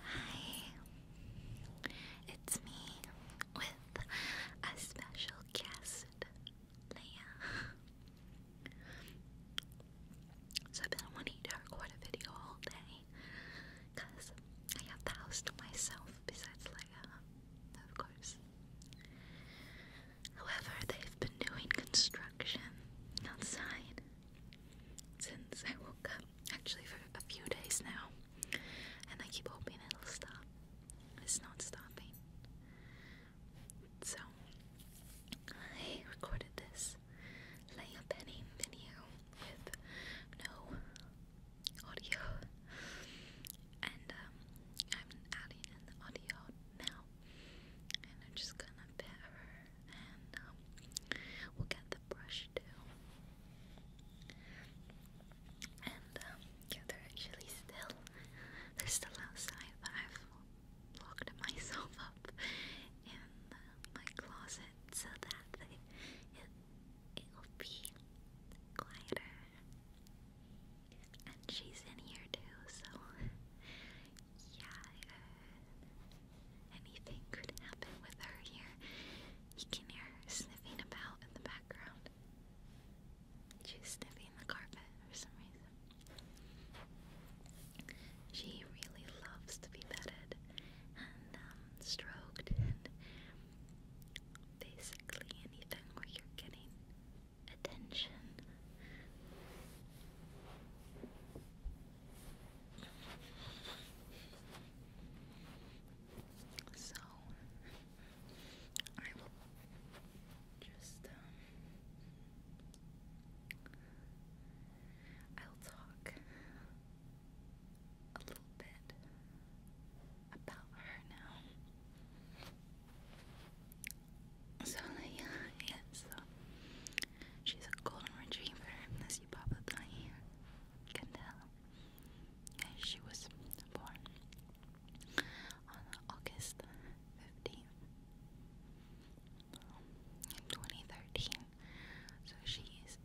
Hi, it's me with a special guest, Leia. So I've been wanting to record a video all day, I have the house to myself besides Leia, of course. However, they've been doing construction outside, since I woke up, actually for a few days now, and I keep hoping it'll stop. It's not stopping. So, I recorded this layup penning video with no audio, and um, I'm adding in the audio now, and I'm just gonna pair and um, we'll get the brush too. And um, yeah, they're actually still they're still outside, but I've locked myself up in um, my closet so that it it will be quieter. And she's in here too, so yeah, anything could happen with her here. You can hear sniffing about in the background. She's sniffing the carpet for some reason. She really loves to be petted and um, stroked and basically anything where you're getting attention. So I will just um, I'll talk a little bit about her now. So yeah, yeah She's a golden retriever, as you probably can tell. And she was born on August 15th in 2013. So she's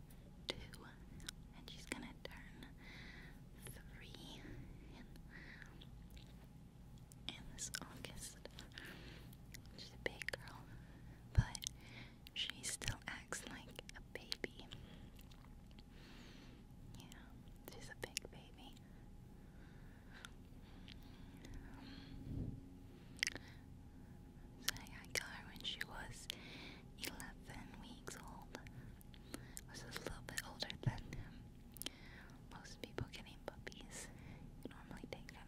two, and she's gonna turn three in, in this August. She's a big girl but she still acts like a baby. Yeah, she's a big baby. so I got her when she was 11 weeks old. Was a little bit older than most people getting puppies. normally take them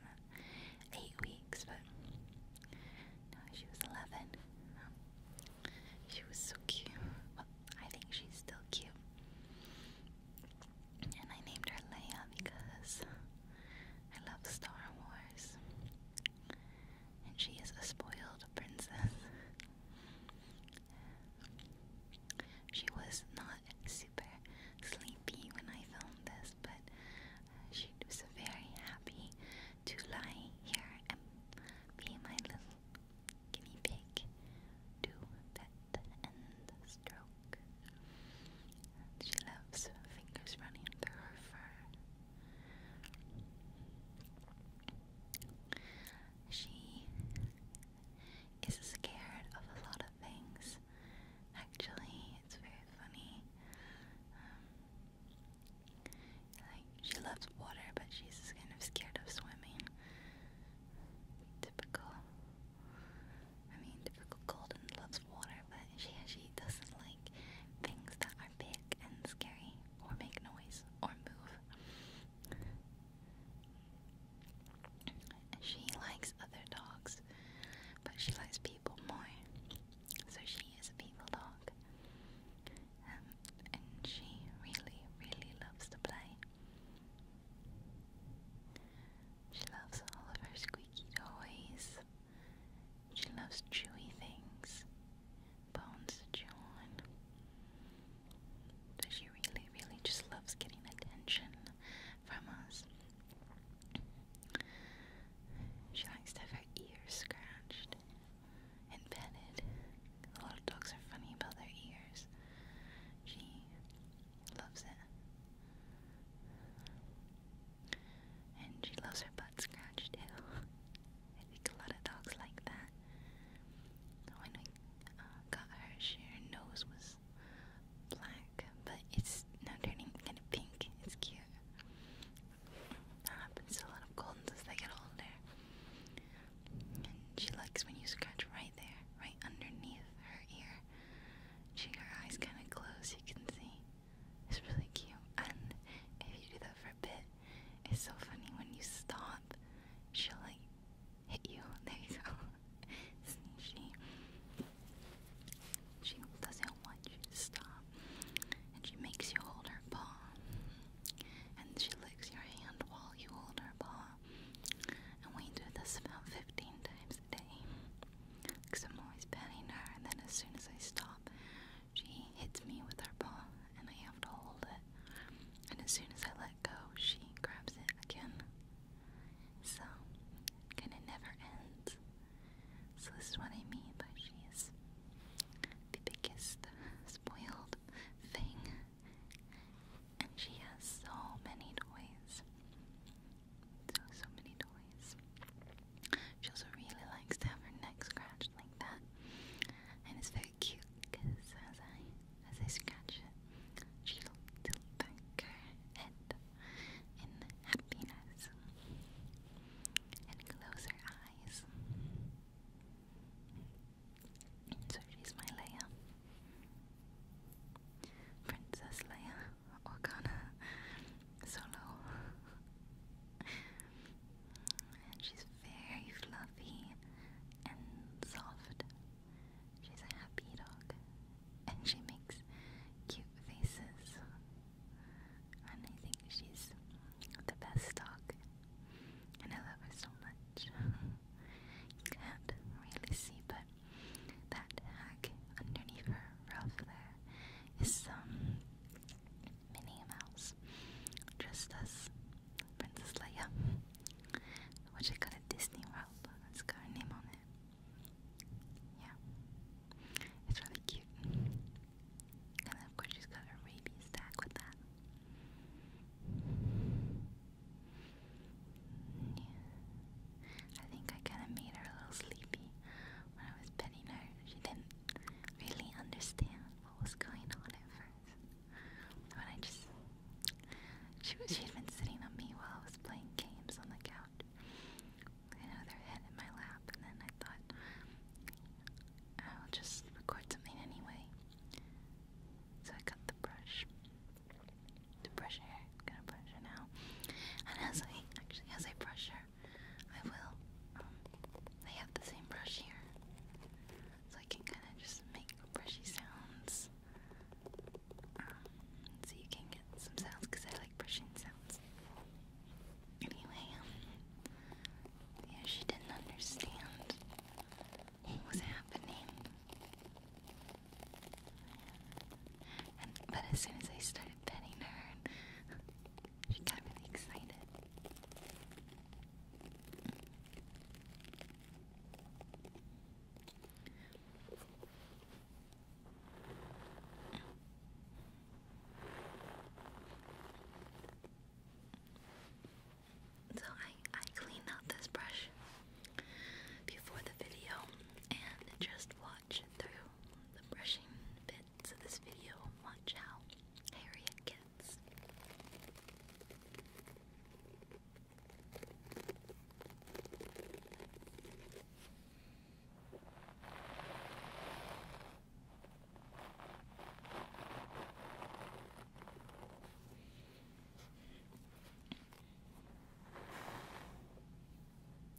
eight weeks, but she was 11. She was so cute. I think she's still cute. And I named her Leia because I love Star Wars. And she is a spoiled princess. She was not and super sleepy when I filmed this, but uh, she was very happy to lie here and be my little guinea pig to pet and stroke. she loves fingers running through her fur. She is scared of a lot of things, Actually, it's very funny. Um, like she loves water, but she's kind of scared of swimming. Typical. I mean, typical Golden loves water, but she actually doesn't like things that are big and scary, or make noise, or move. She likes other dogs, but she likes people more, so she is a people dog. Um, and she really, really loves to play. She loves all of her squeaky toys. She loves chewy things, bones to So she really, really just loves getting attention from She likes to have her ears scratched and petted. A lot of dogs are funny about their ears. She loves it. And she loves her butt scratched too. I think a lot of dogs like that. When we uh, got her, her nose was black dark, but it's now turning kind of pink. It's cute. That happens to a lot of goldens as they get older. And she likes when you scratch right there, right underneath her ear. She, her eyes kind of close, you can see. It's really cute. And if you do that for a bit, it's so funny when you stop, she'll like hit you. There you go she she doesn't want you to stop, and she makes you hold her paw, and she licks your hand while you hold her paw, and we do this about 15 times a day. Cause I'm always petting her, and then as soon as I stop, she hits me with her paw, and I have to hold it. And as soon as I let go, she grabs it again. So kind of never ends. So this is what I mean by she's the biggest spoiled thing. And she has so many toys. So, so many toys. She also really likes to have her neck scratched like that. And it's very cute because as I as I scratch she tilted back her head in happiness and closed her eyes. So she's my Leia. Princess Leia Organa Solo. And she's very fluffy and soft She's a happy dog, and she makes cute faces. And I think she's the best dog, and I love her so much. you can't really see, but that tag underneath her ruff there is some Minnie Mouse dressed as Princess Leia. What you call it, Disney World? Let's got her name on it. Yeah. It's really cute. And of course she's got her rabies tag with that. Yeah. I think I kinda made her a little sleepy when I was petting her. She didn't really understand what was going on at first. But I just she was, she'd been sitting on me while I was playing games on the couch. You know, their head in my lap, and then I thought, I'll just record something anyway. So I got the brush, to brush her. I'm gonna brush her now. And as I actually, as I brush her, I will. Um, have the same brush here, so I can kind of just make brushy sounds. Um, so you can get some sounds because I like brushing sounds. Anyway, um, yeah, she didn't understand what was happening. And, but as soon as I started petting her, she got really excited. So I I clean out this brush before the video and just watch through the brushing bits of this video watch how hairy it gets.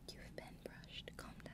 You've been brushed. Calm down.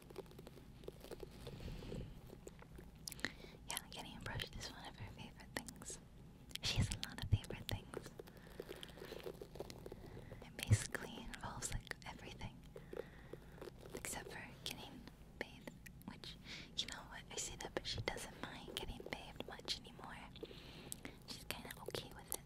Yeah, getting a is one of her favorite things. She has a lot of favorite things. It basically involves like everything. Except for getting bathed, which, you know what, I see that, but she doesn't mind getting bathed much anymore. She's kinda okay with it.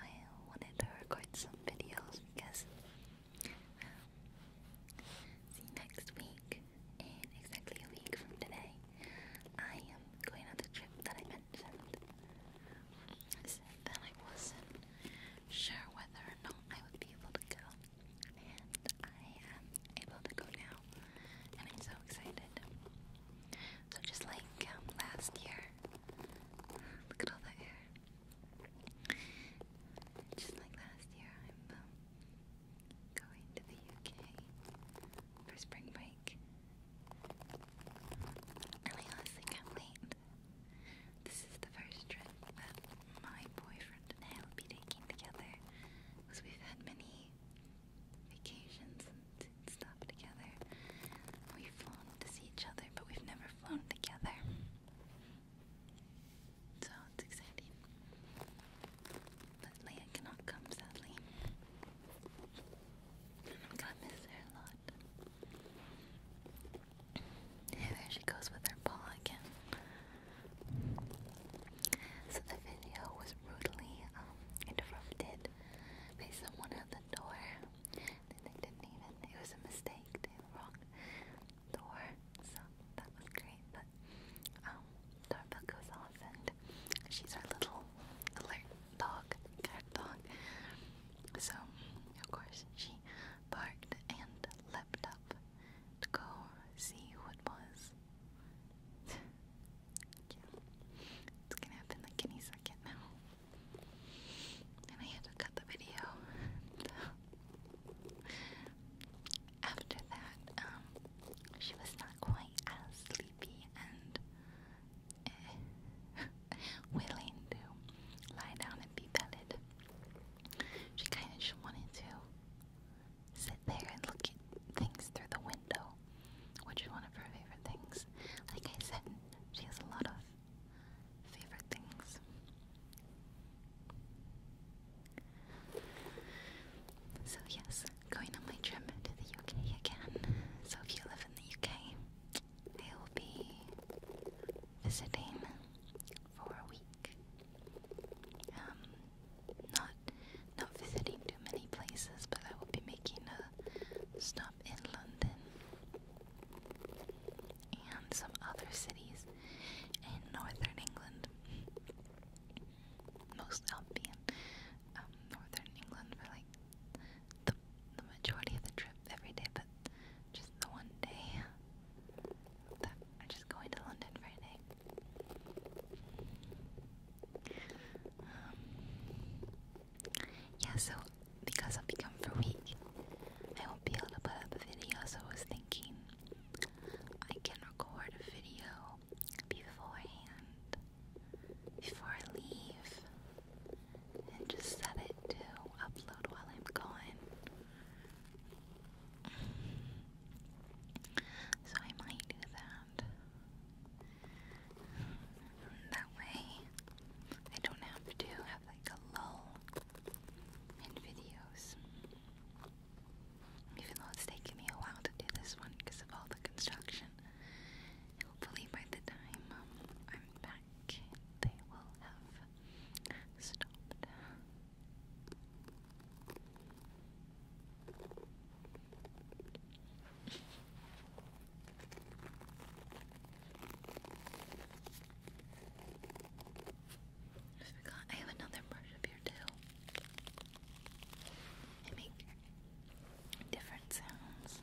I wanted to record some videos because um, see next week in exactly a week from today I am going on the trip that I mentioned. I said I wasn't sure whether or not I would be able to go and I am able to go now, and I'm so excited. So just like um, last year, look at all the hair. Just like last year, I'm um, going to the UK for spring break, and I honestly can't wait. This is the first trip that my boyfriend boyfriend will be taking together because we've had many vacations and stuff together. We've flown to see each other, but we've never flown together. So it's exciting. But Leia cannot come, sadly. I'm gonna miss her a lot. there she goes with her paw again. So the video was brutally um, interrupted by someone at the door. They didn't even, it was a mistake, the wrong door. So that was great, but um, goes off and she's our little alert dog, cat dog. So, of course, she barked and leapt up to go see who was. It's gonna happen like any second now. And I had to cut the video. After that, um, she was not quite as sleepy and eh, willing to lie down and be petted. She kind of just wanted to sit there and look at things through the window, which is one of her favorite things. Like I said, she has a lot of favorite things. So, yes, going on my trip to the UK again. So, if you live in the UK, I will be visiting for a week. Um, not not visiting too many places, but I will be making a stop in London and some other cities in northern England. Most I'll um, northern England for like the the majority of the trip every day, but just the one day that I'm just going to London for a day. Um, yeah, so because I've become for weak, I won't be able to put up a video, so I was thinking I can record a video beforehand before I leave and just set it to upload while I'm gone. So I might do that. That way I don't have to have like a lull in videos. Even though it's taken me a while to do this one because of all the construction. Hopefully by the time um, I'm back they will have Stop. I forgot I have another brush up here too. I make different sounds.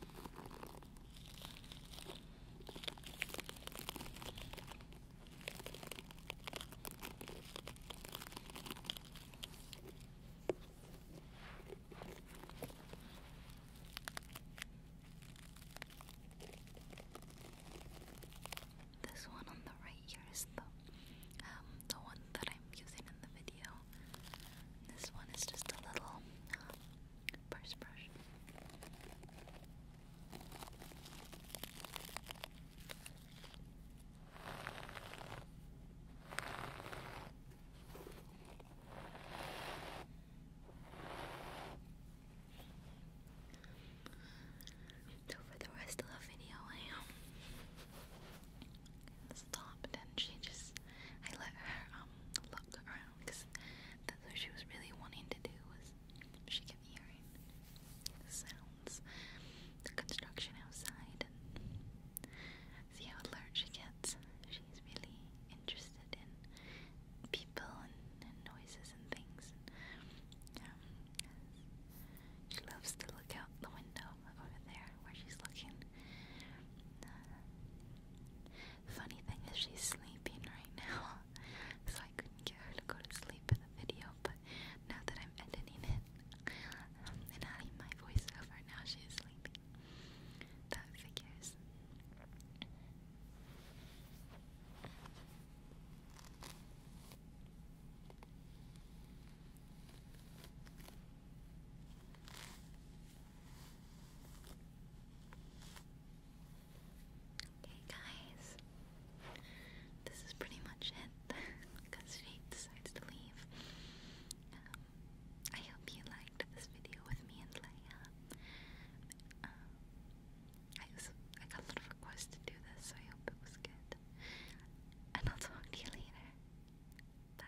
This one on the right here is the um the one that I'm using in the video. This one is just a little um, brush. So for the rest of the video, I um, stopped and she just, I let her um look around because that's what she was really wanting to do was she can hear it. The sounds, the construction outside, and see how alert she gets. She's really interested in people and, and noises and things. And, um, she loves to look out the window over there where she's looking. Uh, funny thing is, she's sleeping right now so I couldn't get her to go to sleep in the video, but now that I'm editing it um, and adding my voiceover, now she sleeping. That figures. Okay, guys, this is pretty much it because she decides to leave. Um, I hope you liked this video with me and Leia. Um, I got a lot of requests to do this, so I hope it was good. And I'll talk to you later. Bye.